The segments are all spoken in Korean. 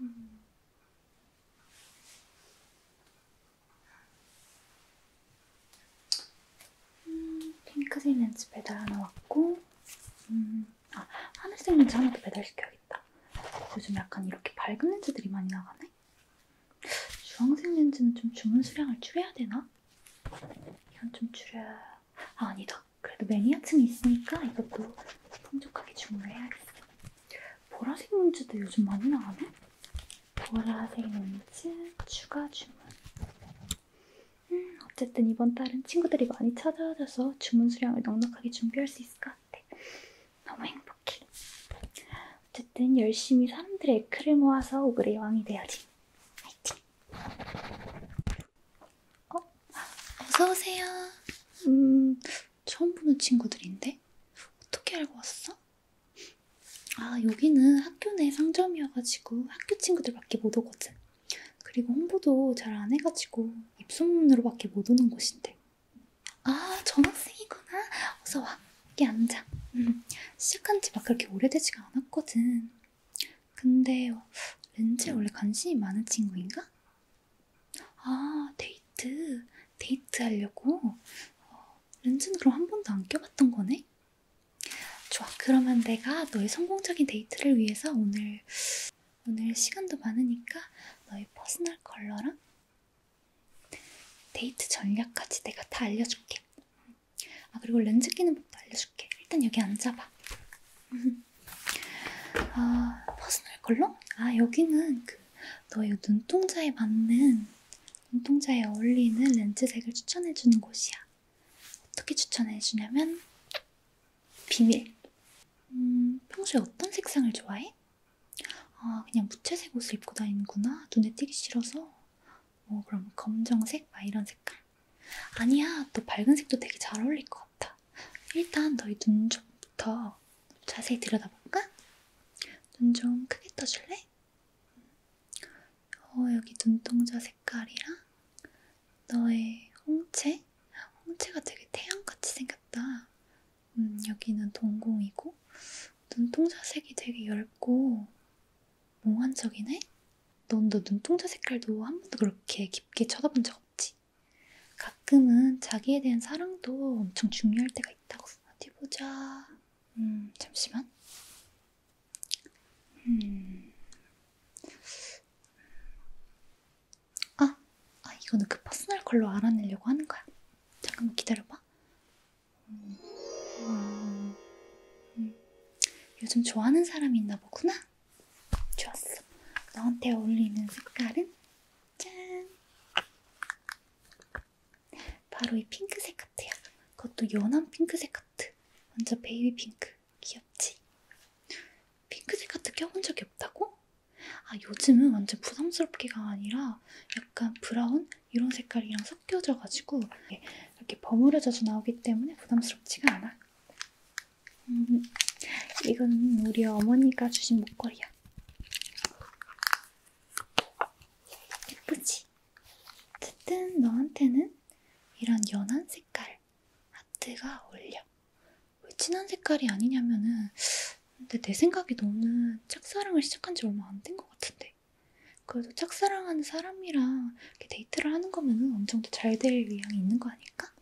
음. 음, 핑크색 렌즈 배달 하나 왔고, 음, 아, 하늘색 렌즈 하나 더 배달시켜야겠다. 요즘 약간 이렇게 밝은 렌즈들이 많이 나가네? 주황색 렌즈는 좀 주문 수량을 줄여야 되나? 이건 좀 줄여... 아 아니다. 그래도 매니아층이 있으니까 이것도 풍족하게 주문을 해야겠어. 보라색 렌즈도 요즘 많이 나가네? 보라색 렌즈 추가 주문. 음, 어쨌든 이번 달은 친구들이 많이 찾아와줘서 주문 수량을 넉넉하게 준비할 수 있을 것 같아. 너무 행복해. 해볼게. 어쨌든 열심히 사람들의 에크를 모아서 오그레 왕이 되어야지. 화이팅! 어? 어서오세요. 음, 처음 보는 친구들인데? 어떻게 알고 왔어? 아, 여기는 학교 내 상점이어가지고 학교 친구들밖에 못 오거든. 그리고 홍보도 잘 안 해가지고 입소문으로밖에 못 오는 곳인데. 아, 전학생이구나. 어서 와. 여기 앉아. 음, 시작한 지 막 그렇게 오래되지가 않았거든. 근데 렌즈에 원래 관심이 많은 친구인가? 아, 데이트. 데이트 하려고. 어, 렌즈는 그럼 한 번도 안 껴봤던 거네? 좋아. 그러면 내가 너의 성공적인 데이트를 위해서 오늘, 오늘 시간도 많으니까 너의 퍼스널 컬러랑 데이트 전략까지 내가 다 알려줄게. 아 그리고 렌즈 끼는 법도 알려줄게. 일단 여기 앉아봐. 아 퍼스널 컬러? 아 여기는 그 너의 눈동자에 맞는 눈동자에 어울리는 렌즈색을 추천해주는 곳이야. 어떻게 추천해주냐면 비밀. 음 평소에 어떤 색상을 좋아해? 아, 그냥 무채색 옷을 입고 다니는구나. 눈에 띄기 싫어서. 뭐, 그럼 검정색? 막 이런 색깔. 아니야, 너 밝은색도 되게 잘 어울릴 것 같아. 일단 너희 눈 좀부터 자세히 들여다볼까? 눈 좀 크게 떠줄래? 음. 어, 여기 눈동자 색깔이랑 너의 홍채? 홍채가 되게 태양같이 생겼다. 음, 여기는 동공이고 눈동자 색이 되게 얇고 몽환적이네? 넌 너 눈동자 색깔도 한 번도 그렇게 깊게 쳐다본 적 없지? 가끔은 자기에 대한 사랑도 엄청 중요할 때가 있다고 어디 보자 음 잠시만 음. 아아 이거는 그 퍼스널 컬러 알아내려고 하는 거야. 잠깐만 기다려봐. 음, 음, 음. 요즘 좋아하는 사람이 있나 보구나. 좋았어. 너한테 어울리는 색깔은 짠. 바로 이 핑크색 같아요. 그것도 연한 핑크색 같아. 완전 베이비 핑크. 귀엽지? 핑크색 같은 껴본 적이 없다고? 아, 요즘은 완전 부담스럽게가 아니라 약간 브라운? 이런 색깔이랑 섞여져가지고 이렇게 버무려져서 나오기 때문에 부담스럽지가 않아. 음, 이건 우리 어머니가 주신 목걸이야. 예쁘지? 어쨌든 너한테는 이런 연한 색깔 하트가 어울려. 왜 진한 색깔이 아니냐면은 근데 내 생각에 너는 짝사랑을 시작한 지 얼마 안 된 것 같은데 그래도 짝사랑하는 사람이랑 이렇게 데이트를 하는 거면은 어느 정도 잘될 의향이 있는 거 아닐까?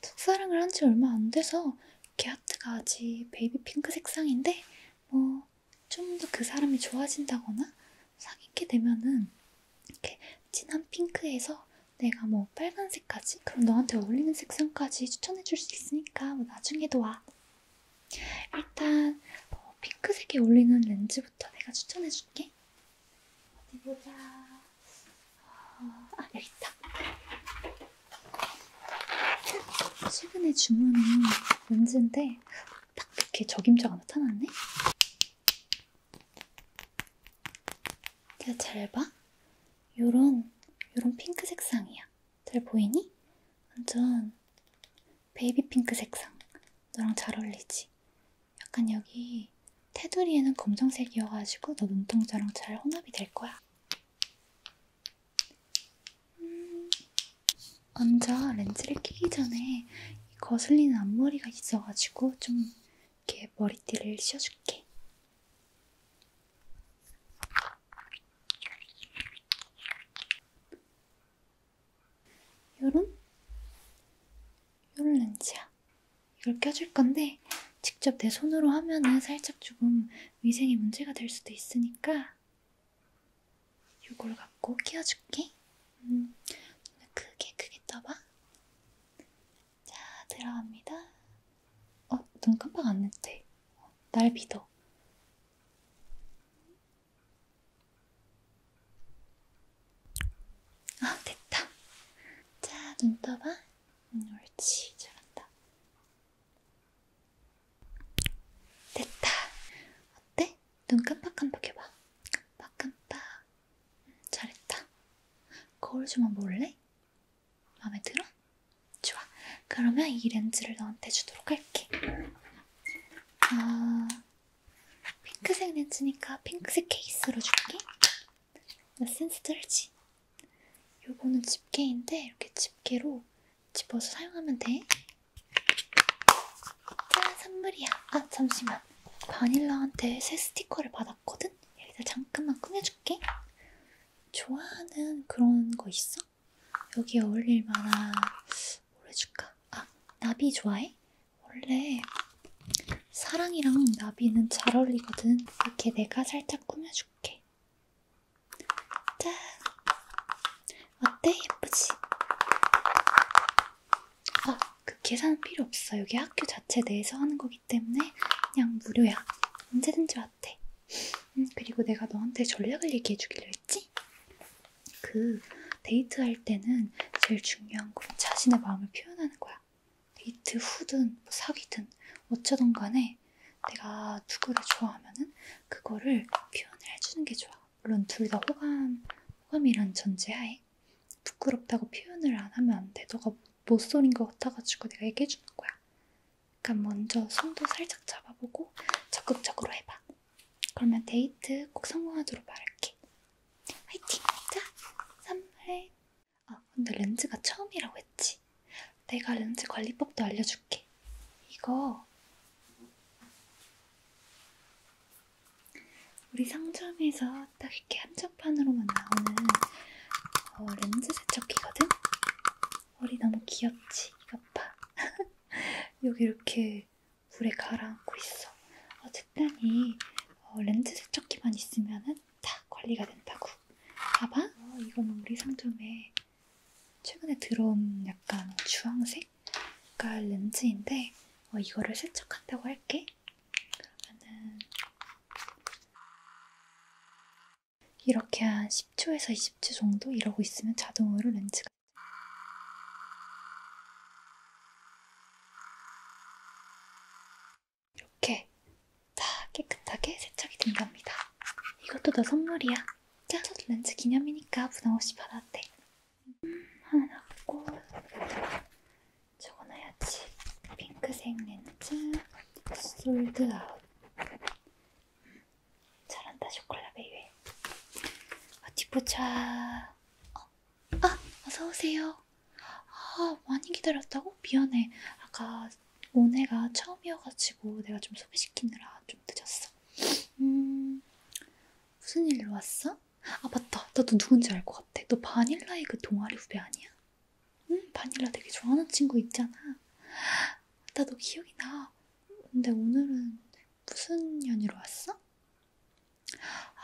짝사랑을 한 지 얼마 안 돼서 이렇게 하트가 아직 베이비 핑크 색상인데 뭐 좀 더 그 사람이 좋아진다거나 사귀게 되면은 이렇게 진한 핑크에서 내가 뭐 빨간색까지 그럼 너한테 어울리는 색상까지 추천해줄 수 있으니까 뭐 나중에도 와. 일단 뭐 핑크색에 어울리는 렌즈부터 내가 추천해줄게. 어디 보자. 어, 아 여기 있다. 최근에 주문한 렌즈인데 딱 이렇게 적임자가 나타났네. 자, 잘 봐. 요런, 요런 핑크 색상이야. 잘 보이니? 완전 베이비 핑크 색상. 너랑 잘 어울리지? 약간 여기 테두리에는 검정색이어가지고 너 눈동자랑 잘 혼합이 될 거야. 음, 먼저 렌즈를 끼기 전에 이 거슬리는 앞머리가 있어가지고 좀 이렇게 머리띠를 씌워줄게. 요런? 요런 렌즈야. 이걸 껴줄 건데 직접 내 손으로 하면은 살짝 조금 위생에 문제가 될 수도 있으니까 요걸 갖고 끼워줄게. 음, 크게 크게 떠봐. 자, 들어갑니다. 어, 눈 깜빡 안 했대. 날 믿어. 아, 됐다. 자, 눈 떠봐. 음, 옳지. 잘한다. 됐다. 어때? 눈 깜빡깜빡 해봐. 깜빡깜빡. 음, 잘했다. 거울 좀 한번 볼래? 마음에 들어? 좋아. 그러면 이 렌즈를 너한테 주도록 할게. 아, 핑크색 렌즈니까 핑크색 케이스로 줄게. 나 센스 들지? 요거는 집게인데 이렇게 집게로 집어서 사용하면 돼. 짠, 선물이야. 아, 잠시만. 바닐라한테 새 스티커를 받았거든? 여기다 잠깐만 꾸며줄게. 좋아하는 그런 거 있어? 여기 어울릴 만한 뭘 해줄까? 아, 나비 좋아해? 원래 사랑이랑 나비는 잘 어울리거든. 이렇게 내가 살짝 꾸며줄게. 짠! 어때? 예쁘지? 아, 그 계산은 필요 없어. 여기 학교 자체 내에서 하는 거기 거기 때문에 그냥 무료야. 언제든지 왔대. 음, 그리고 내가 너한테 전략을 얘기해 주기로 했지? 그 데이트할 때는 제일 중요한 건 자신의 마음을 표현하는 거야. 데이트 후든 뭐 사귀든 어쩌던 간에 내가 누구를 좋아하면은 그거를 표현을 해주는 게 좋아. 물론 둘 다 호감, 호감이란 전제하에. 부끄럽다고 표현을 안 하면 안 돼. 너가 못소린 것 같아가지고 내가 얘기해주는 거야. 그러니까 먼저 손도 살짝 잡아보고 적극적으로 해봐. 그러면 데이트 꼭 성공하도록 말할게. 화이팅! 자, 선물해. 아, 근데 렌즈가 처음이라고 했지? 내가 렌즈 관리법도 알려줄게. 이거 우리 상점에서 딱 이렇게 한정판으로만 나오는 어, 렌즈 세척기거든? 머리 너무 귀엽지? 이것 봐. 여기 이렇게 물에 가라앉고 있어. 어쨌든 이 어, 렌즈 세척기만 있으면은 다 관리가 된다고. 봐봐. 어, 이거는 우리 상점에 최근에 들어온 약간 주황색? 렌즈인데 어, 이거를 세척한다고 할게. 그러면은 이렇게 한 10초에서 20초 정도 이러고 있으면 자동으로 렌즈가 이렇게 다 깨끗하게 세척이 된답니다. 이것도 너 선물이야. 자, 렌즈 기념이니까 부담 없이 받았대. 하나 놨고 저거 넣어야지 핑크색 렌즈 솔드아웃 음, 잘한다 쇼콜라 베이베 어디 아, 보자 어? 아! 어서오세요 아 많이 기다렸다고? 미안해 아까 오네가 처음이어가지고 내가 좀 소개시키느라 좀 늦었어 음 무슨 일로 왔어? 아니야? 아 맞다 나도 누군지 알 것 같아 너 바닐라의 그 동아리 후배 아니야? 응 바닐라 되게 좋아하는 친구 있잖아 나도 기억이 나 근데 오늘은 무슨 연유로 왔어?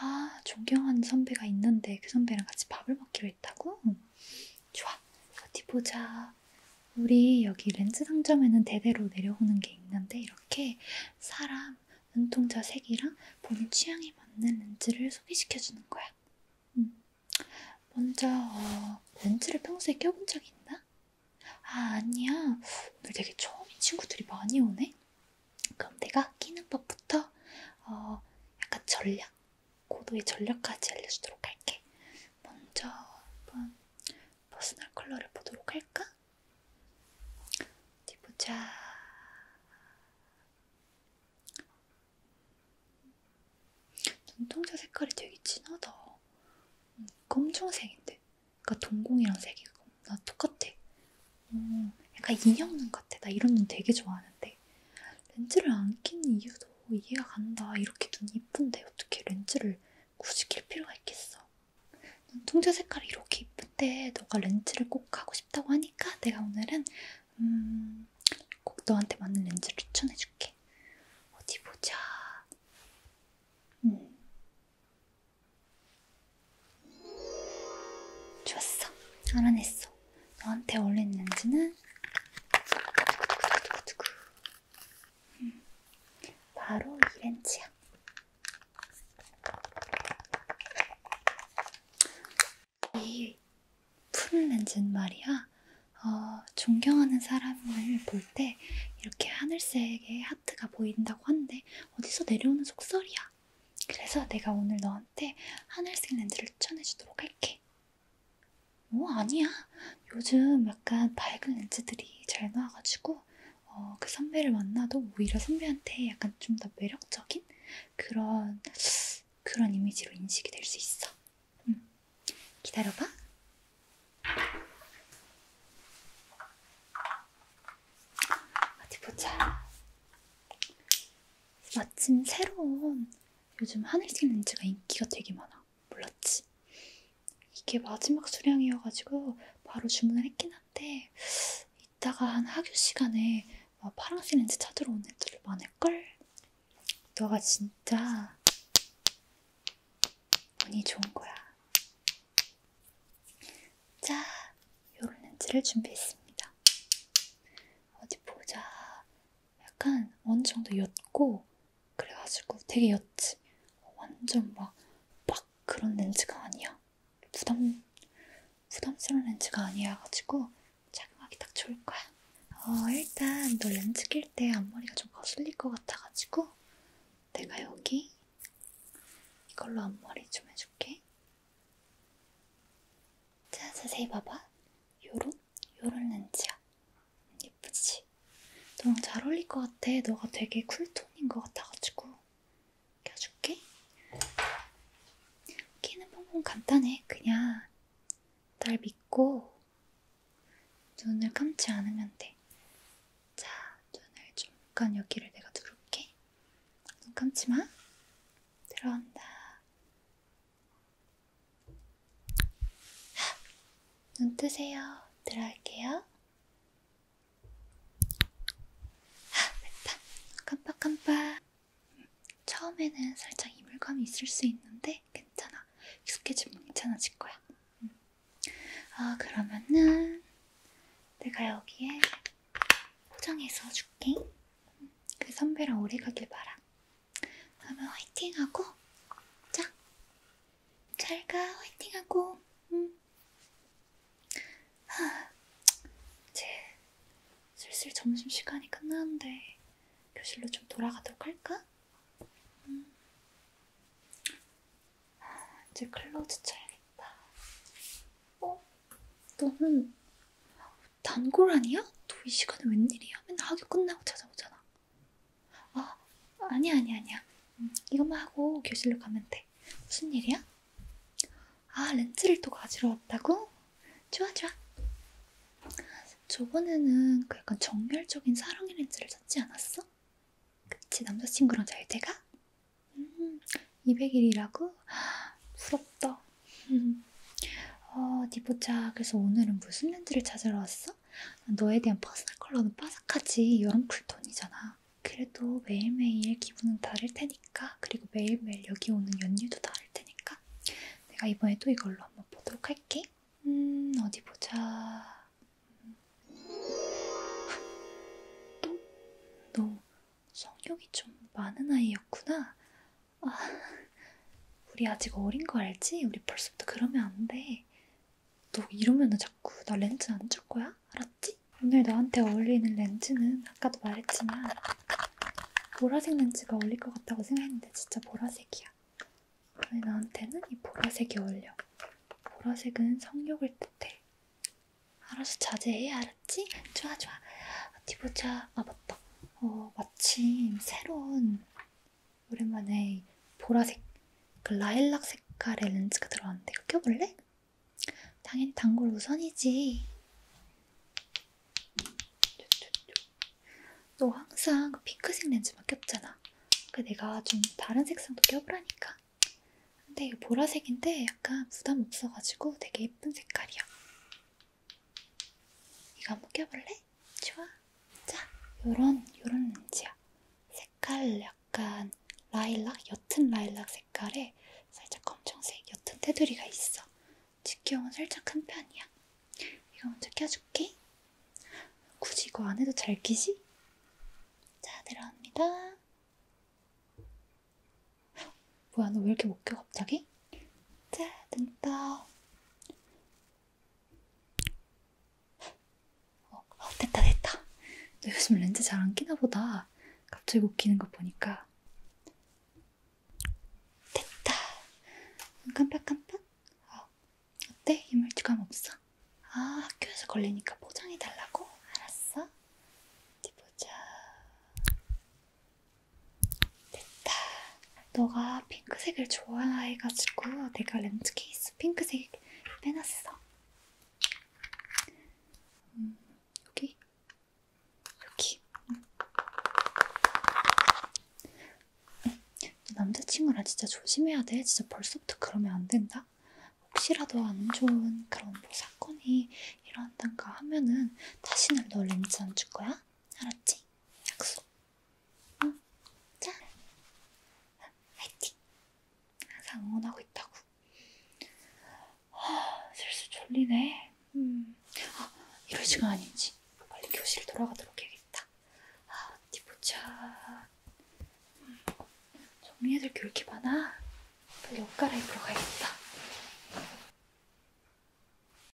아 존경하는 선배가 있는데 그 선배랑 같이 밥을 먹기로 했다고? 응. 좋아 어디 보자 우리 여기 렌즈 상점에는 대대로 내려오는 게 있는데 이렇게 사람 눈동자 색이랑 본인 취향에 맞는 렌즈를 소개시켜주는 거야. 음. 먼저 어, 렌즈를 평소에 껴본 적이 있나? 아 아니야. 오늘 되게 처음인 친구들이 많이 오네. 그럼 내가 끼는 법부터 어, 약간 전략, 고도의 전략까지 알려주도록 할게. 먼저 한번 퍼스널 컬러를 보도록 할까? 어디 보자. 눈동자 색깔이 되게 진하다. 음, 검정색인데. 그러니까 동공이랑 색이 나 똑같아. 음, 약간 인형 눈 같아. 나 이런 눈 되게 좋아하는데. 렌즈를 안 끼는 이유도 이해가 간다. 이렇게 눈이 이쁜데 어떻게 렌즈를 굳이 낄 필요가 있겠어. 통째 색깔이 이렇게 이쁜데 너가 렌즈를 꼭 하고 싶다고 하니까 내가 오늘은 음, 꼭 너한테 맞는 렌즈를 추천해줄게. 어디 보자. 음. 좋았어. 알아냈어. 너한테 어울리는 렌즈는 음. 바로 이 렌즈야. 이 푸른 렌즈는 말이야, 어, 존경하는 사람을 볼 때 이렇게 하늘색의 하트가 보인다고 하는데 어디서 내려오는 속설이야. 그래서 내가 오늘 너한테 하늘색 렌즈를 추천해주도록 할게. 뭐 아니야. 요즘 약간 밝은 렌즈들이 잘 나와가지고 어, 그 선배를 만나도 오히려 선배한테 약간 좀 더 매력적인 그런 그런 이미지로 인식이 될 수 있어. 음. 기다려봐. 어디 보자. 마침 새로운 요즘 하늘색 렌즈가 인기가 되게 많아. 몰랐지? 이게 마지막 수량이어가지고 바로 주문을 했긴 한데 이따가 한 학교 시간에 뭐 파랑색 렌즈 찾으러 온 애들 많을걸? 너가 진짜 운이 좋은 거야. 자, 요런 렌즈를 준비했습니다. 어디 보자. 약간 어느 정도 옅고 그래가지고 되게 옅지. 완전 막빡 그런 렌즈가 아니야. 부담, 부담스러운 렌즈가 아니어가지고 착용하기 딱 좋을 거야. 어, 일단 너 렌즈 낄 때 앞머리가 좀 거슬릴 것 같아가지고 내가 여기 이걸로 앞머리 좀 해줄게. 자, 자세히 봐봐. 요런, 요런 렌즈야. 예쁘지? 너랑 잘 어울릴 것 같아. 너가 되게 쿨톤인 것 같아가지고 껴줄게. 끼는 방법 간단해. 그냥 날 믿고 눈을 감지 않으면 돼. 자, 눈을 잠깐 여기를 내가 누를게. 눈 감지 마. 들어온다. 눈 뜨세요. 들어갈게요. 됐다. 깜빡깜빡. 처음에는 살짝 이물감이 있을 수 있는데 괜찮아. 익숙해지면 괜찮아질 거야. 음. 아 그러면은 내가 여기에 포장해서 줄게. 음, 그 선배랑 오래 가길 바라. 그러면 화이팅하고 자 잘가 화이팅하고 응. 음. 하, 이제 슬슬 점심시간이 끝나는데 교실로 좀 돌아가도록 할까? 응. 음. 하, 이제 클로즈 쳐야겠다 어? 너는 단골 아니야? 너 이 시간에 웬일이야? 맨날 학교 끝나고 찾아오잖아 아, 아니야, 아니야, 아니야. 음, 이것만 하고 교실로 가면 돼. 무슨 일이야? 아, 렌즈를 또 가지러 왔다고? 좋아, 좋아. 저번에는 그 약간 정열적인 사랑의 렌즈를 찾지 않았어? 그치, 남자친구랑 잘 돼가? 음, 200일이라고? 부럽다. 음. 어, 디보자 그래서 오늘은 무슨 렌즈를 찾으러 왔어? 너에 대한 퍼스널 컬러는 빠삭하지 여름 쿨톤이잖아. 그래도 매일매일 기분은 다를 테니까 그리고 매일매일 여기 오는 연유도 다를 테니까 내가 이번에 또 이걸로 한번 보도록 할게. 음 어디 보자. 음. 또? 너 성욕이 좀 많은 아이였구나. 아, 우리 아직 어린 거 알지? 우리 벌써부터 그러면 안 돼. 너 이러면 자꾸 나 렌즈 안 줄 거야? 알았지? 오늘 너한테 어울리는 렌즈는 아까도 말했지만 보라색 렌즈가 어울릴 것 같다고 생각했는데 진짜 보라색이야. 아니 나한테는 이 보라색이 어울려. 보라색은 성욕을 뜻해. 알아서 자제해, 알았지? 좋아, 좋아. 어디 보자. 아, 맞다. 어, 마침 새로운 오랜만에 보라색, 그 라일락 색깔의 렌즈가 들어왔는데 이거 껴볼래? 당연히 단골 우선이지. 너 항상 그 핑크색 렌즈만 꼈잖아. 그 내가 좀 다른 색상도 껴보라니까. 근데 이거 보라색인데 약간 부담 없어가지고 되게 예쁜 색깔이야. 이거 한번 껴볼래? 좋아. 자, 요런, 요런 렌즈야. 색깔 약간 라일락, 옅은 라일락 색깔에 살짝 검정색 옅은 테두리가 있어. 직경은 살짝 큰 편이야. 이거 먼저 껴줄게. 굳이 이거 안 해도 잘 끼지? 자, 들어갑니다. 헉, 뭐야, 너 왜 이렇게 못 껴, 갑자기? 자, 눈썹. 어, 어 됐다 됐다. 너 요즘 렌즈 잘 안 끼나 보다. 갑자기 못 끼는 거 보니까. 됐다. 음, 깜빡깜빡. 어, 어때? 이물주감 없어? 아 학교에서 걸리니까 포장해달라고? 알았어. 어디 보자. 됐다. 너가 핑크색을 좋아해가지고 내가 렌즈 케이스 핑크색 빼놨어. 음, 여기, 여기. 음. 남자친구랑 진짜 조심해야 돼. 진짜 벌써부터 그러면 안 된다. 혹시라도 안 좋은 그런 뭐 사건이 일어난다가 하면은 다시는 너 렌즈 안 줄 거야? 알았지? 약속. 응? 자, 화이팅! 항상 응원하고 있다고. 아, 슬슬 졸리네. 음, 아, 이럴 시간 아니지. 빨리 교실 돌아가도록 해야겠다. 아, 어디 보자. 음, 정리해둘 게 이렇게 많아. 빨리 옷 갈아입으러 가야겠다.